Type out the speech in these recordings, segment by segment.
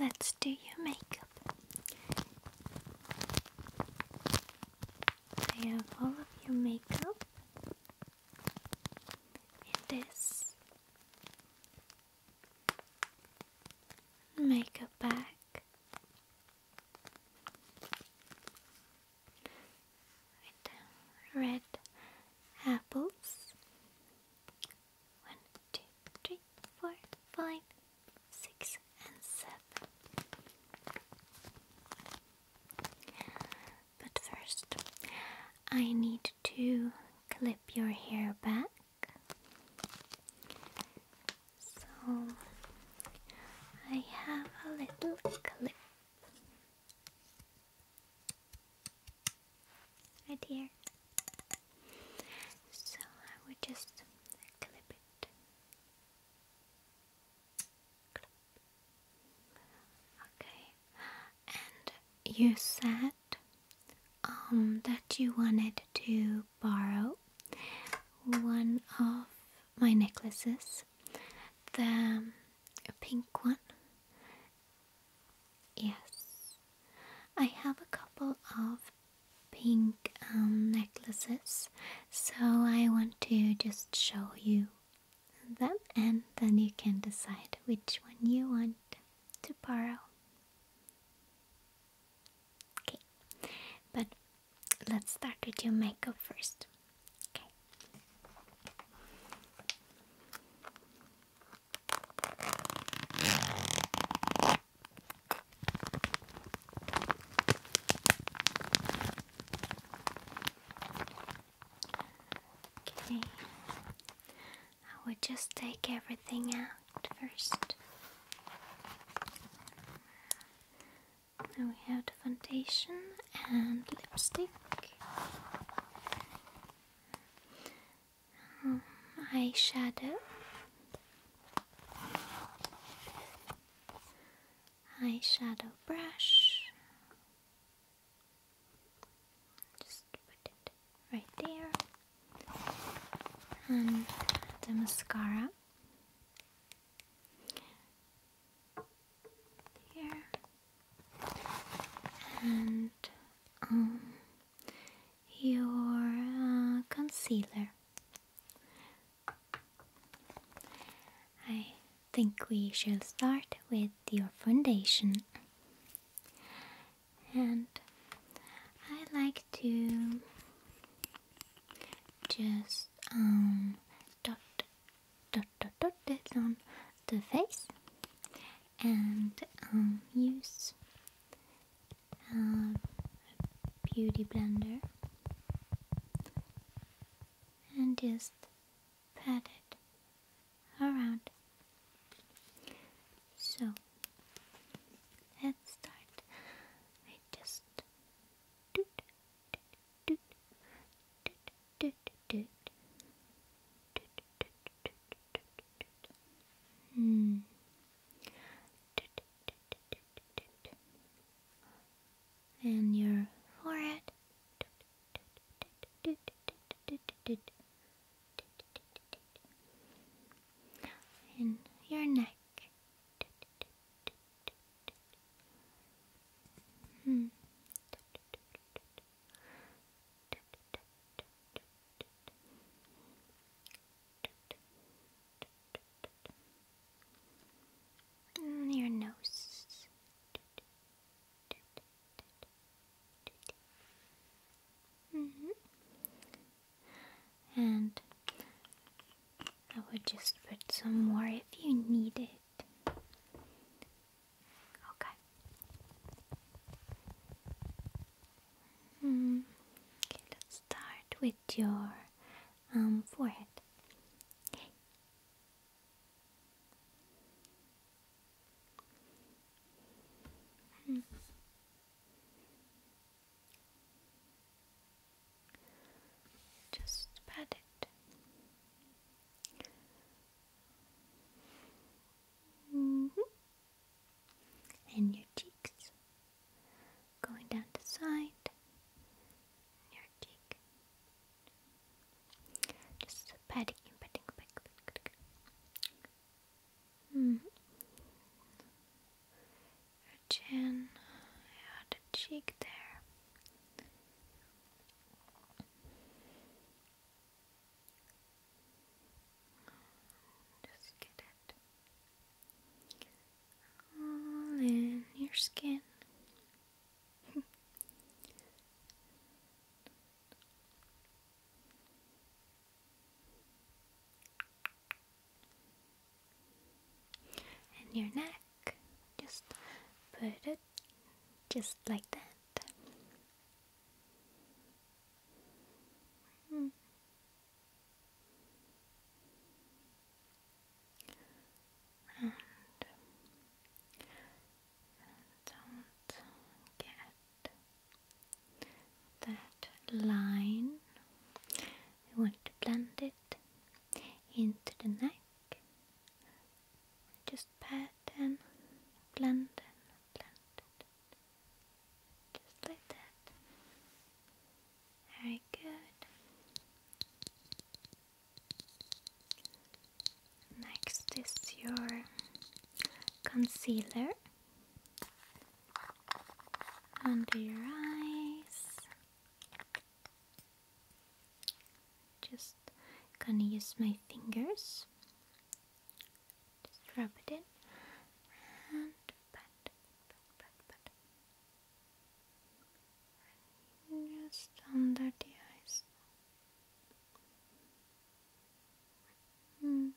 Let's do your makeup. I have all of your makeup in this Make a back. With red apples. One, two, three, four, five, six, and seven. But first, I need to clip your hair back. So I have a little clip right here. So I would just clip it. Okay. And you said um, that you wanted to borrow one of my necklaces, the pink one. Yes, I have a couple of pink um, necklaces, so I want to just show you them and then you can decide which one you want to borrow. Okay, but let's start with your makeup first. Okay. I would just take everything out first. we have the foundation and lipstick. Um, eyeshadow. Eyeshadow brush. Just put it right there. And the mascara. There. And um, your uh, concealer. I think we shall start with your foundation and I like to just um, dot dot dot dot it on the face and um, use a uh, beauty blender and just pat it around so let's start. I just doot, doot, doot, doot, Hmm. And your forehead in your neck. Hmm. In mm, your nose. -hmm and I would just put some more if you need it. Okay. Mm. Okay, let's start with your um, forehead. Okay. Mm-hmm. Just pat it. -hmm. And your cheeks going down to side, your cheek. Just patting and patting back. Mm. Your chin, yeah, the cheek there. Just get it all in your skin. and your neck. Just put it just like that. Hmm. And don't get that line. We want to blend it into the neck. Just pat and blend and blend it. Just like that. Very good. Next is your concealer under your eyes. Just gonna use my fingers. Just rub it in and just under the eyes. Mm.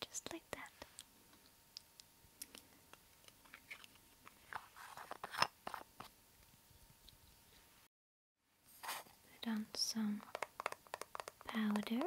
Just like that. Put on some powder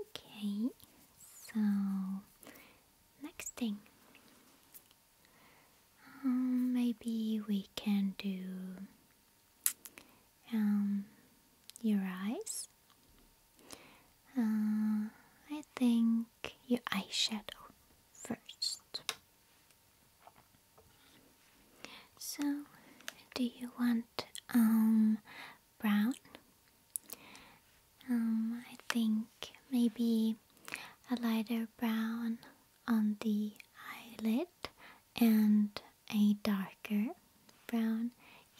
Okay, so next thing, um, maybe we can do um, your eyes. Uh, I think your eyeshadow first. So, do you want um brown? Um, I think maybe a lighter brown on the eyelid and a darker brown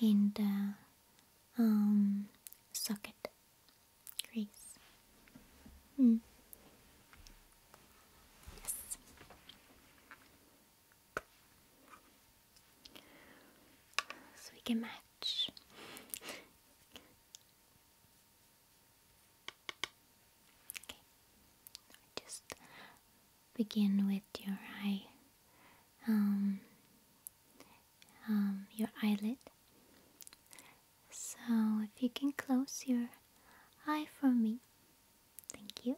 in the um socket Grace. Hmm. Yes. So we can match. Okay. Just begin with your eye um, um your eyelid so, if you can close your eye for me, thank you.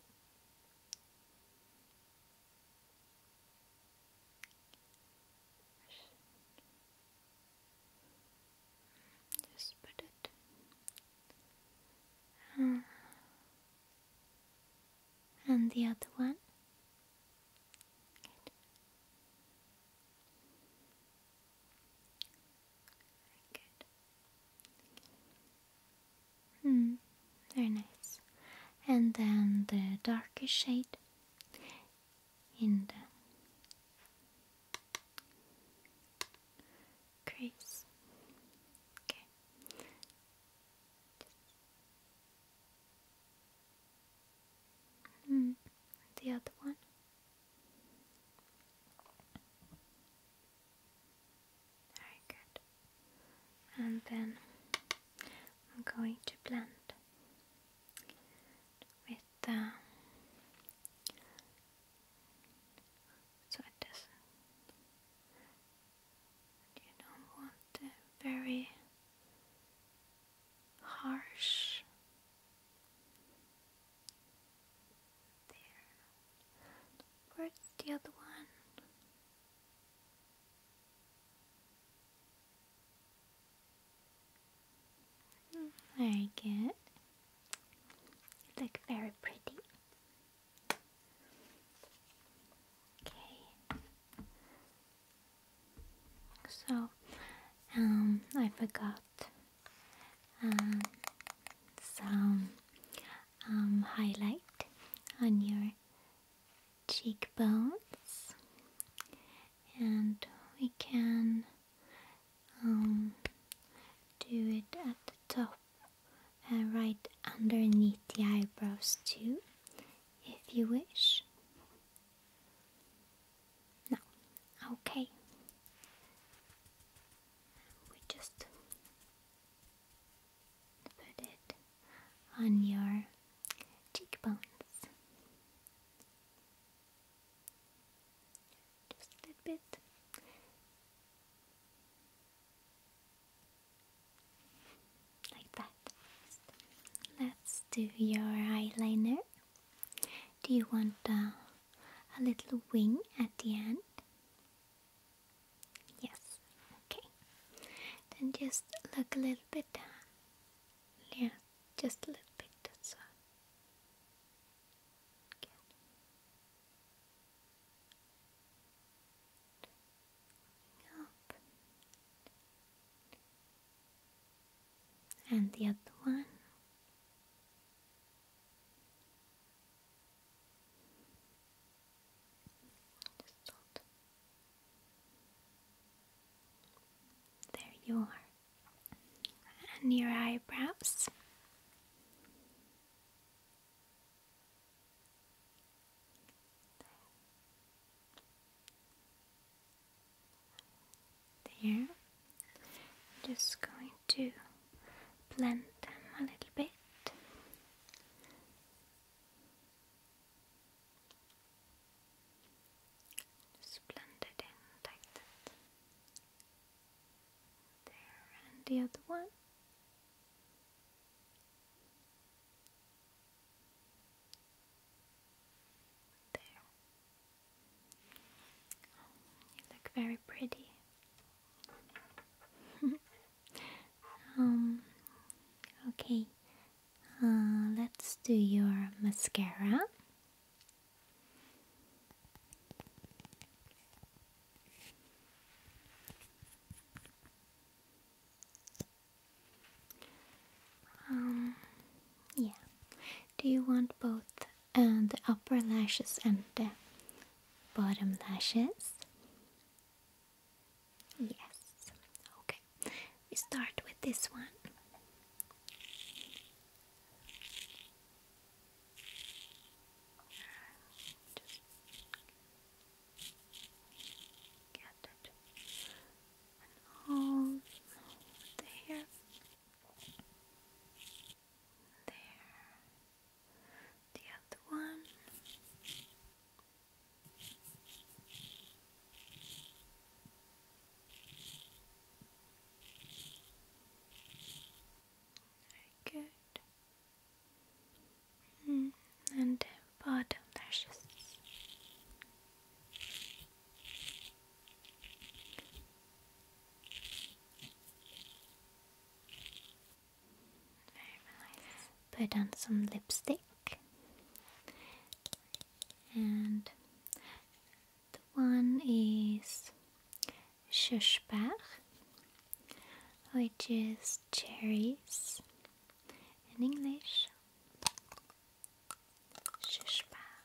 Just put it. Uh, and the other one. Good. Hmm, very nice. And then the darkest shade in the crease. Okay. Mm, the other one. Very good. And then I'm going to blend with the so it doesn't you don't want the very harsh Where's the other one? Very good. You look very pretty. Okay. So, um, I forgot some um, highlight on your cheekbones and we can um, do it at the top and right underneath the eyebrows too if you wish now, okay, we just put it on your cheekbones, just a bit. Like that. Let's do your eyeliner. Do you want uh, a little wing at the end? Yes, okay. Then just look a little bit Yeah, just a little bit, that's And the other one. There you are. And your eyebrows. There. I'm just going to blend them a little bit. Just blend it in like that. There and the other one. There. You look very pretty. Um, okay. Uh, let's do your mascara. Um, yeah, do you want both and uh, the upper lashes and the bottom lashes? Yes. Okay. We start with this one. Just get it and the hair. There. The other one. Very good. Mm, and bottom lashes. Put on some lipstick. And the one is Schöschbach, which is cherries in English. Schöschbach,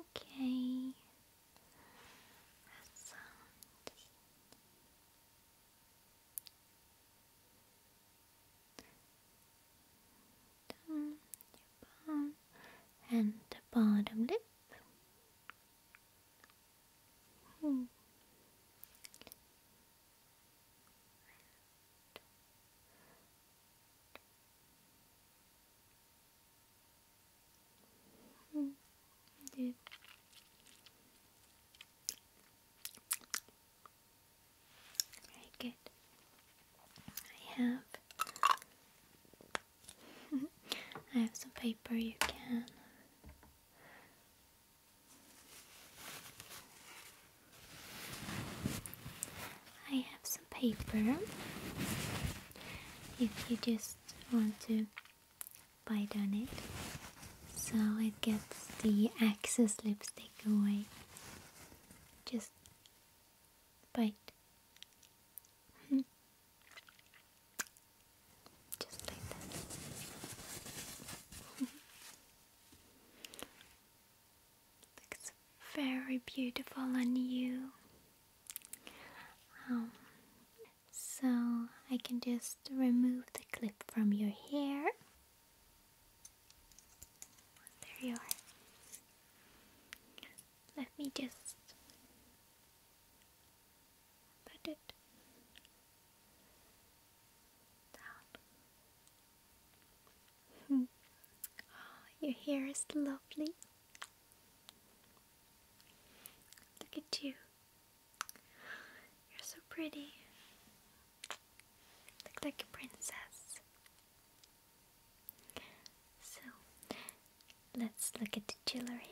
okay. That sound. and the bottom lip. Hmm. Hmm. Yeah. Very good. I have I have some paper you can I have some paper. If you just want to bite on it, so it gets the excess lipstick away. Just bite. Hmm. Just like that. Looks very beautiful on you. Um, so I can just remove the clip from your hair. There you are. Let me just put it oh, your hair is lovely. Look at you. You're so pretty. look like a princess. So, let's look at the jewelry.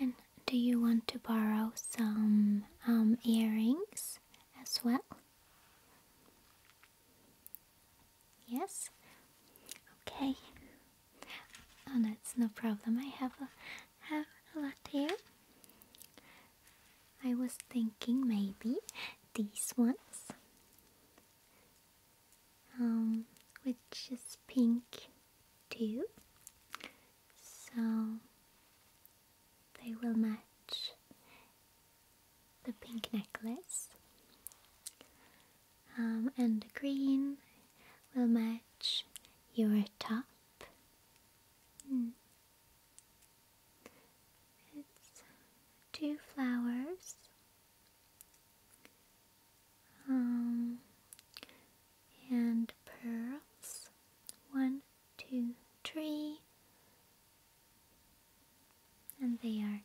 And do you want to borrow some um, earrings as well? Yes? Okay. Oh, that's no problem. I have a, have a lot here. I was thinking maybe these ones, um, which is pink to so they will match the pink necklace um, and the green will match your top hmm. it's two flowers um, and pearls. One, two, three. And they are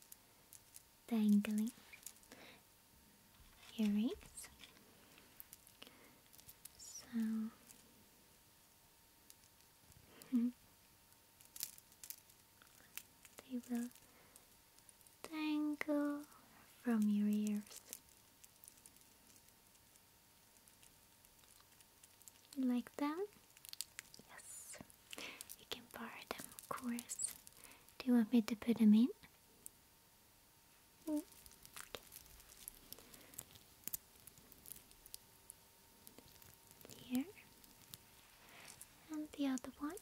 dangling earrings. So hmm. they will dangle from your ears. You like them? Yes. You can borrow them, of course. Do you want me to put them in? Mm. Here. And the other one.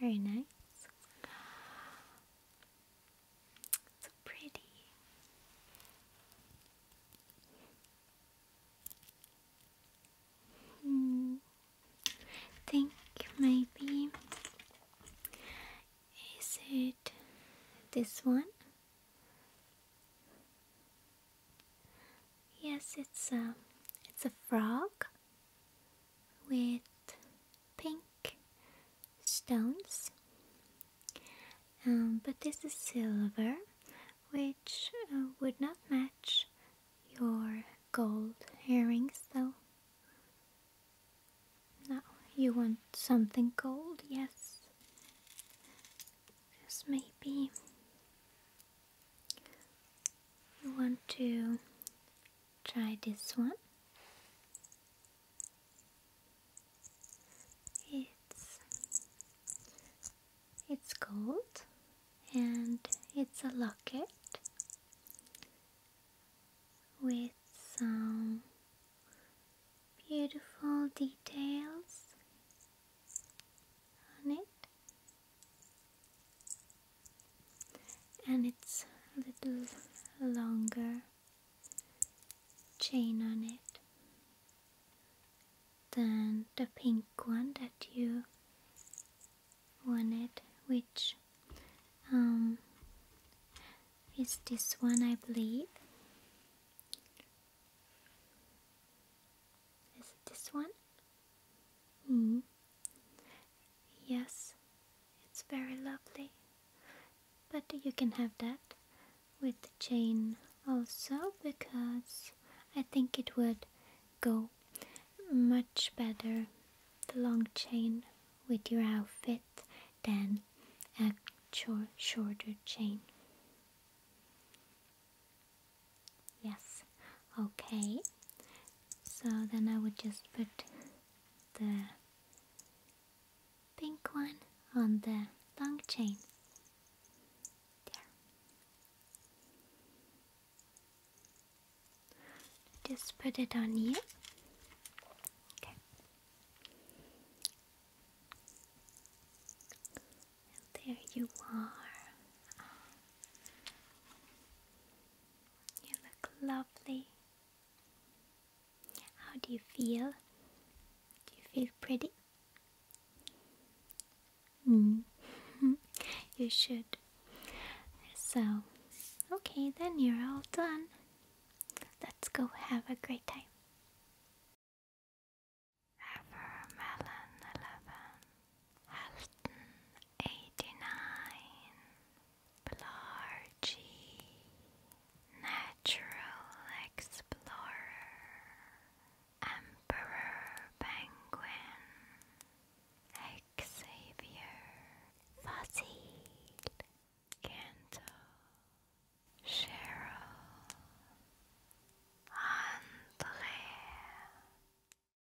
Very nice. So pretty. Hmm. Think maybe is it this one? Yes, it's a it's a frog with pink stones um, but this is silver which uh, would not match your gold earrings though no you want something gold yes Yes, maybe you want to try this one it's it's gold and it's a locket with some beautiful details on it and it's a little longer chain on it than the pink one that you wanted which um, is this one I believe is it this one Mm-hmm. Yes, it's very lovely. But you can have that with the chain also because I think it would go much better the long chain with your outfit than a shorter chain. Yes, okay. So then I would just put the pink one on the long chain. There. Just put it on here. Okay. there you are. You look lovely. How do you feel? Do you feel pretty? Mm. you should. So, okay, then you're all done. Let's go have a great time. Ever 11 Halton eighty nine Blargy Natural Explorer Emperor Penguin Xavier Fossil Kanto Cheryl Andre